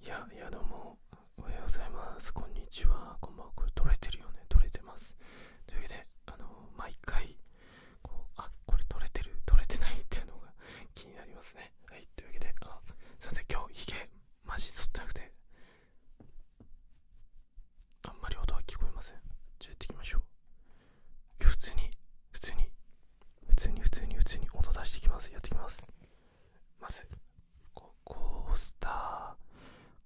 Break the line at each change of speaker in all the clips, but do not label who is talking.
いや、いやどうも、おはようございます。こんにちは。こんばんは。これ、取れてるよね。取れてます。というわけで、あのー、毎回、こう、あ、これ取れてるよね取れてますというわけであの毎回こうあこれ取れてる取れてないっていうのが 気になりますね。はい、というわけで、あ、さて、今日、ひげ、マジ取ってなくて、あんまり音は聞こえません。じゃあ、やっていきましょう。今日、普通に、普通に、普通に、普通に、普通に、音出していきます。やっていきます。まずこうコースター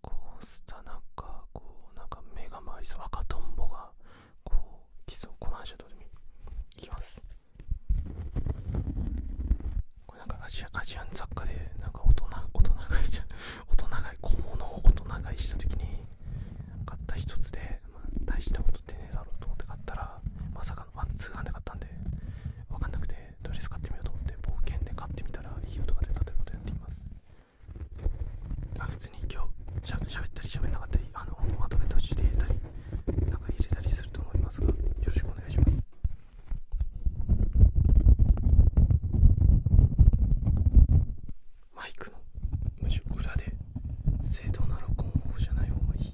コースターなんかこうなんか目が回りそう赤トンボがこうキスをこのアイシャドウで見いきますこれなんかアジアアジアン雑貨でなんか大人大人買いちゃ大人買い小物を大人がいした時に買った一つで、まあ、大したこと出ねえだろうと思って買ったらまさかのワンツーハンで買ったんで分かんなくてとりあえず買ってみようと思って冒険で買ってみたらいい音が出たということをやっていますまあ普通に今日しゃべったりしゃべんなかったりあのまとめ途中でたりなんか入れたりすると思いますがよろしくお願いしますマイクのむしろ裏で正当な録音方じゃない方がいい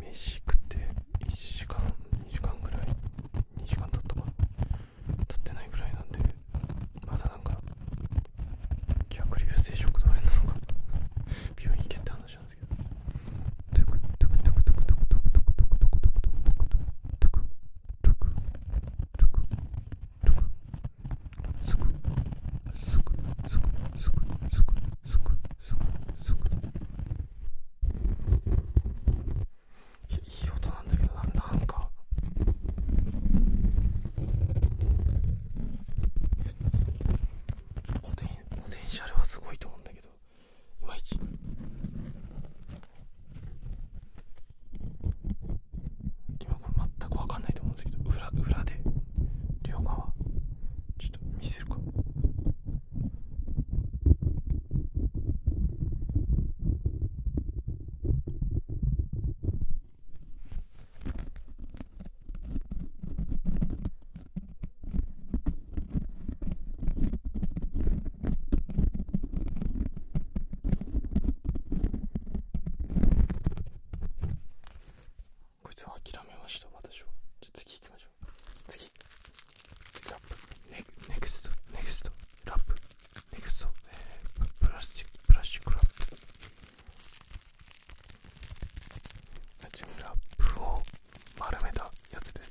飯食って1時間2時間ぐらい2時間経ったか経ってないぐらいなんでまだなんか逆流性食道炎なのか病院行けって話なんですけどトトクトクトクトクトクトクトクトクトククトクトクトクトクトクトクトクトクトクトクトクトクトクトクトクすすすすすすく。く。く。く。く。く。いやいい音なんだけどななんかポテンポテンシャルはすごいと思うんだけどいまいち。今これ全く分かんないと思うんですけど裏裏で両
側ちょっと見せるか
こいつは諦めました私はじゃ次行きましょう次ラップネネクストネクストラップネクスト、えー、プラスチックプラスチックラップラップを丸めたやつです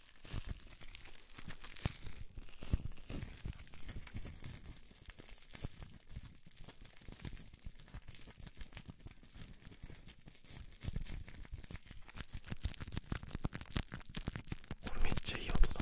これめっちゃいい音だ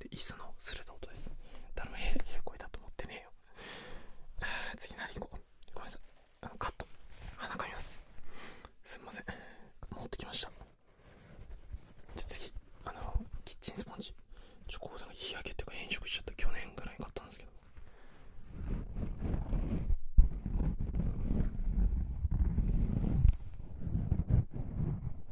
く椅子のすれた音ですだろええ声だと思ってね 次何行こごめんなさいあのカット鼻かみますすいません持ってきましたで、次あのキッチンスポンジちょこうなんか日焼けっていうか変色しちゃった去年ぐらい買ったんですけど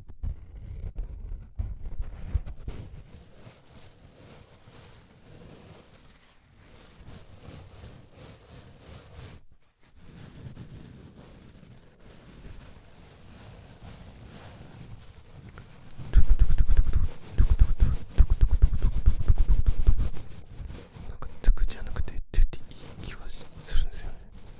なんか「つく」じゃなくて「トゥ」っていい気がするんですよね。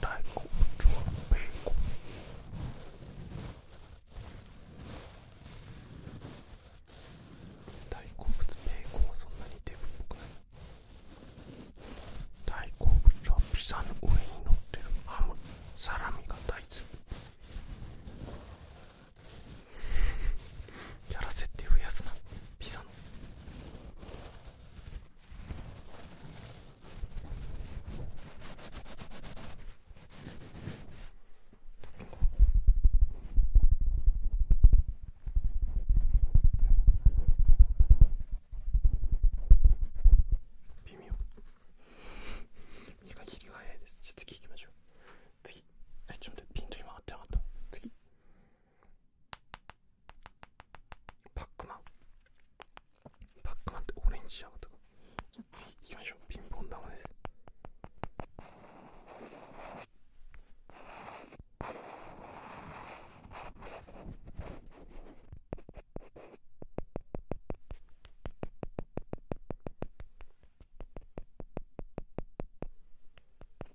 大好物はベーコン。大好物ベーコンはそんなにデブっぽくない大好物はピザの上に乗ってるハムサラミが大好きやらせって増やすなピザの微妙短い切りが早いです次行きましょう次えちょっと待ってピント今合ってなかった次パックマンパックマンってオレンジやとかじ行きましょうピンポン玉です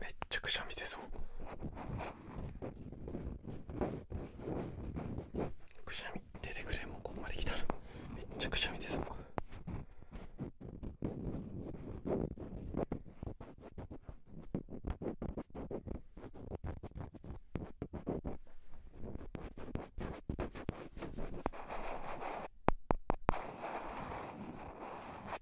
めっちゃくしゃみ出そう
くしゃみ出てくれもうここまで来たらめっちゃくしゃみ出そう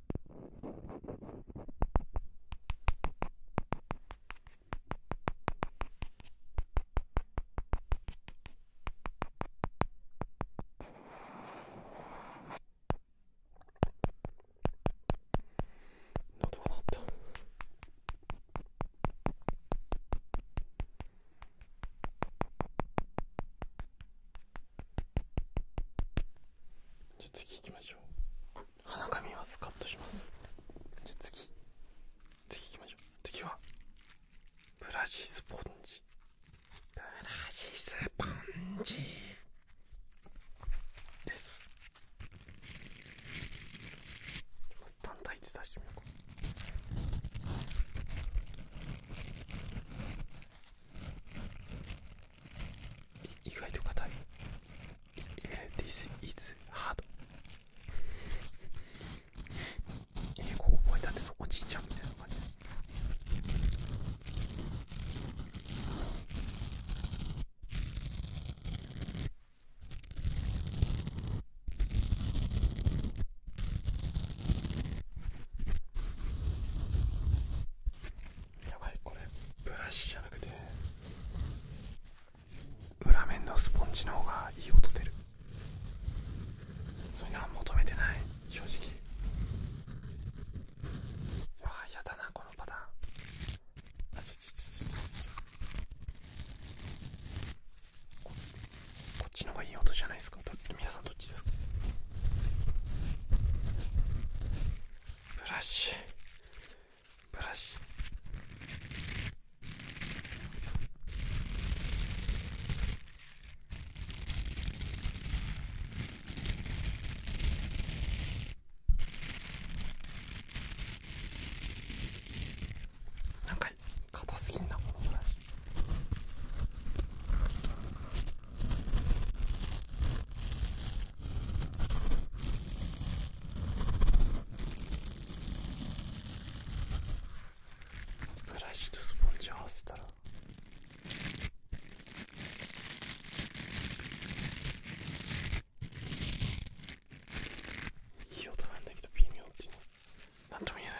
喉が鳴った。じゃあ次行きましょう鼻紙はカットしますじゃ次次行きましょう次はブラシスポンジブラシスポンジですまず単体で出してみようか意外と硬い This is hard 英語覚えたてのおじいちゃんみたいな感じやばいこれブラシじゃなくて裏面のスポンジの方がいい音出るそれは求めてない正直やだなこのパターンここっちの方がいい音じゃないですか皆さんどっちですかブラシブラシなんか硬すぎんなこのブラシ
ブラシとスポンジ合わせたらい
い音なんだけど微妙っていうの何とも言えない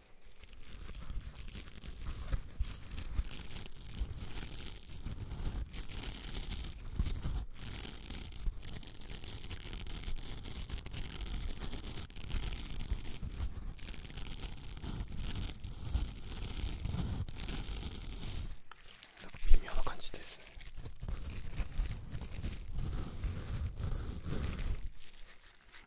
なか微妙な感じですね。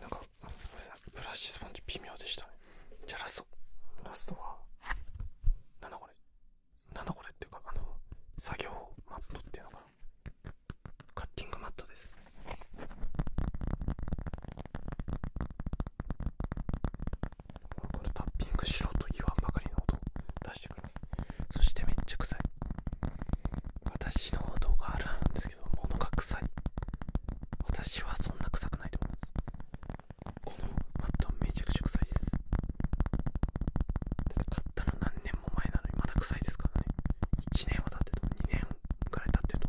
なんかごめさブラシスポンジ微妙でしたねじゃあラストラストはなんだこれなんだこれっていうかあの作業マットっていうのかなカッティングマットですこれタッピングしろと言わんばかりの音を出してくれますそしてめっちゃ臭い私の動画あるあるなんですけど物が臭い私はそんな臭くないと思いますこのマットめちゃくちゃ臭いですだって買ったら何年も前なのにまだ臭いですからね1年は経ってと2年くらい経ってと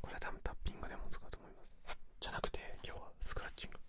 これは多分タッピングでも使うと思いますじゃなくて今日はスクラッチング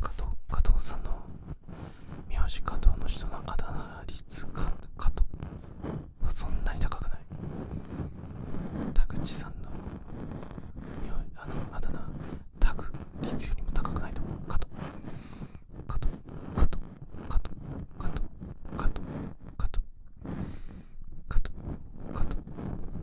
加藤加藤さんの名字加藤の人のあだ名率かと。はそんなに高くない田口さんの名あのあだ名タグ率よりも高くないと思う加藤加藤加藤加藤加藤加藤加藤加藤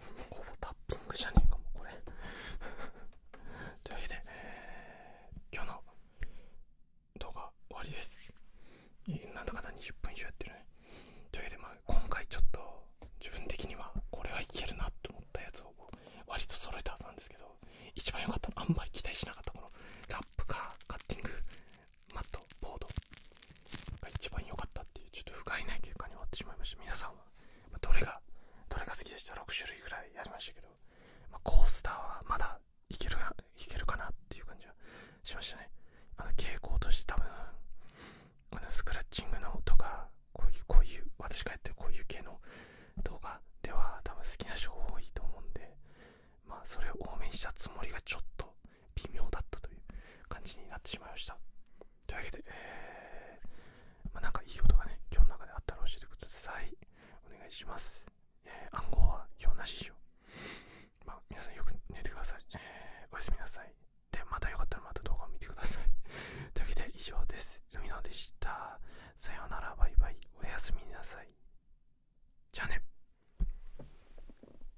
ほぼタップングじゃねえかもこれ
というわけで、え今日の動画終わりですなんだかん20分以上やってるというわけでまあ今回ちょっと自分的にはこれはいけるなと思ったやつを割と揃えたはずなんですけど一番良かったあんまり期待しなかったこのラップかカッティングマットボードが一番良かったっていうちょっと不甲斐ない結果に終わってしまいました皆さんはどれがどれが好きでした6種類ぐらいやりましたけど、まコースターはまだいけるいけるかなっていう感じはしましたねあの傾向として多分あのスクラッチングの音がこういうこういう私がやってこういう系の動画では多分好きな人多いと思うんで、まあそれを多めにしたつもりがちょっと微妙だったという感じになってしまいました。というわけで、えー、まあ、なんかいいことがね、今日の中であったら教えてください。お願いします。えー、暗号は今日なしでしょ。まあ皆さんよく寝てください。えー、おやすみなさい。で、またよかったらまた動画を見てください。というわけで以上です。海野でした。さようなら、バイバイ。おやすみなさい。じゃあね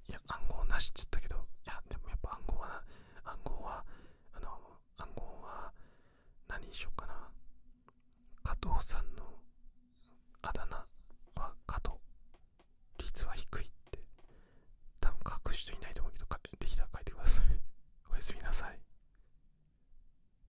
いや暗号なしっつったけどいやでもやっぱ暗号は暗号はあの暗号は何にしようかな加藤さんのあだ名は加藤率は低いって多分書く人いないと思うけどできたら書いてくださいおやすみなさい